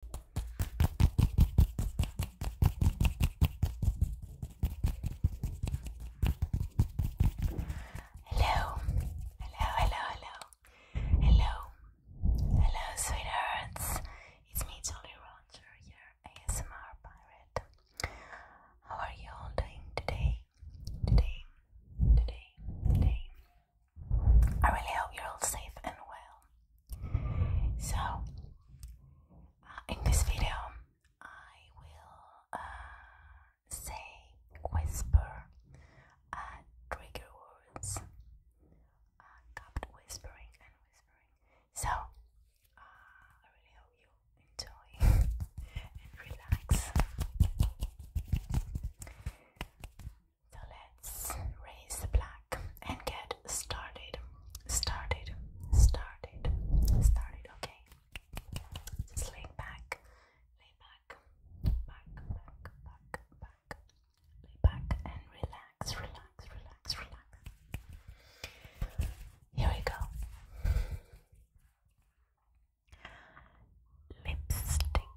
Hello, hello, hello, hello, hello, hello, sweethearts. It's me, Jolly Roger, your ASMR pirate. How are you all doing today? Today, today, today. I really hope you're all safe and well. So, uh, in this video, I will uh, say, whisper uh, trigger words, uh, cupped whispering and whispering. So, uh, I really hope you enjoy and relax. So let's raise the black and get started. Started, started, started, okay? lay back, lay back, back, back, back, back, lay back and relax, relax, relax, relax. Here we go. Lipstick,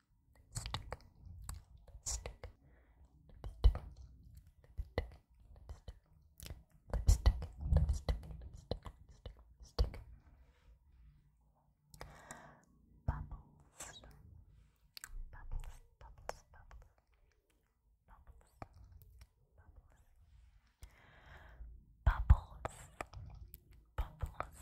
lipstick, lipstick, lipstick, lipstick, lipstick, lipstick, lipstick, bubbles, bubbles, bubbles, bubbles, bubbles, bubbles, bubbles, bubbles,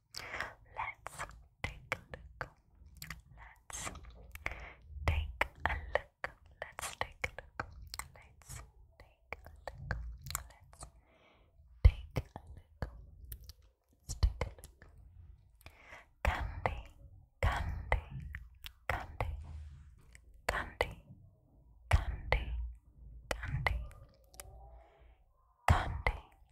Let's take a look. Let's take a look. Let's take a look. Let's take a look. Let's take a look. Let's take a look. Candy, candy, candy, candy, candy, candy, candy,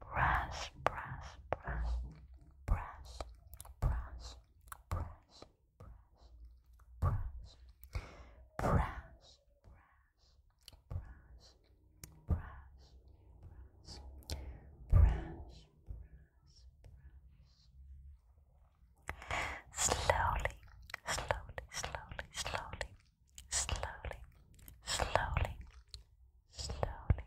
brush, brush, brush, brush, brush, brush, brush, brush, brush, brush, brush, brush, slowly, slowly, slowly, slowly, slowly, slowly, slowly,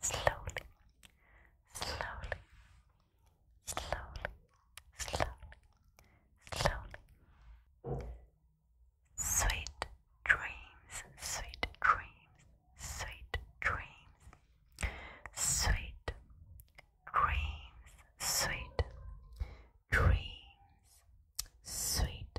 slowly, slowly, slowly, slowly, slowly. Sweet dreams, sweet dreams, sweet dreams, sweet dreams, sweet dreams, sweet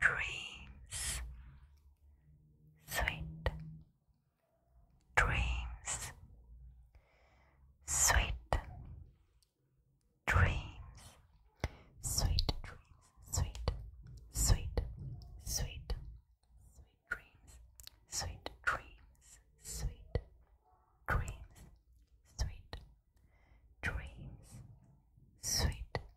dreams, sweet dreams, sweet dreams, sweet dreams, sweet, sweet, sweet, sweet dreams, sweet dreams, sweet dreams, sweet dreams, sweet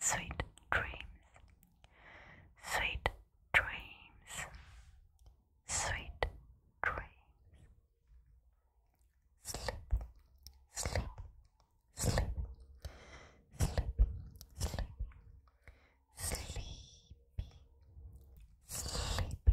Sweet dreams, sweet dreams, sweet dreams. Sleep, sleep, sleep, sleep, sleep, sleepy, sleepy,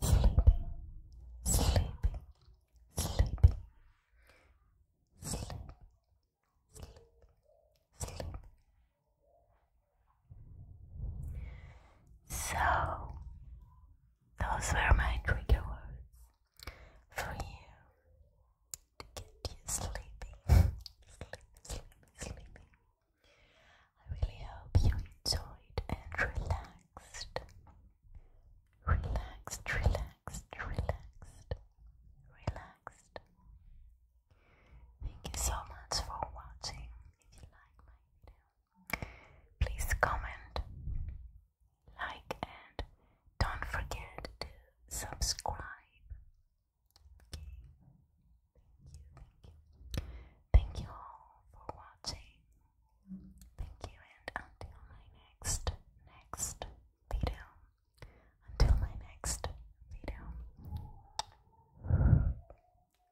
sleeping, sleeping, sleeping, sleeping, sleeping, sleeping. So, those were my trigger words for you to get you sleeping, sleeping, sleeping, sleeping. I really hope you enjoyed and relaxed. Relaxed, relaxed, relaxed, relaxed. Thank you so much for watching. If you like my video, please comment, like, and don't forget to subscribe. Thank you, all for watching. Thank you, and until my next, next video. Until my next video.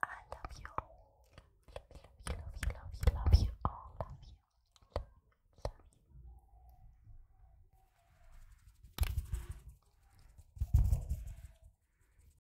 I love you Love you, love you, love you, love you all. Love you. Love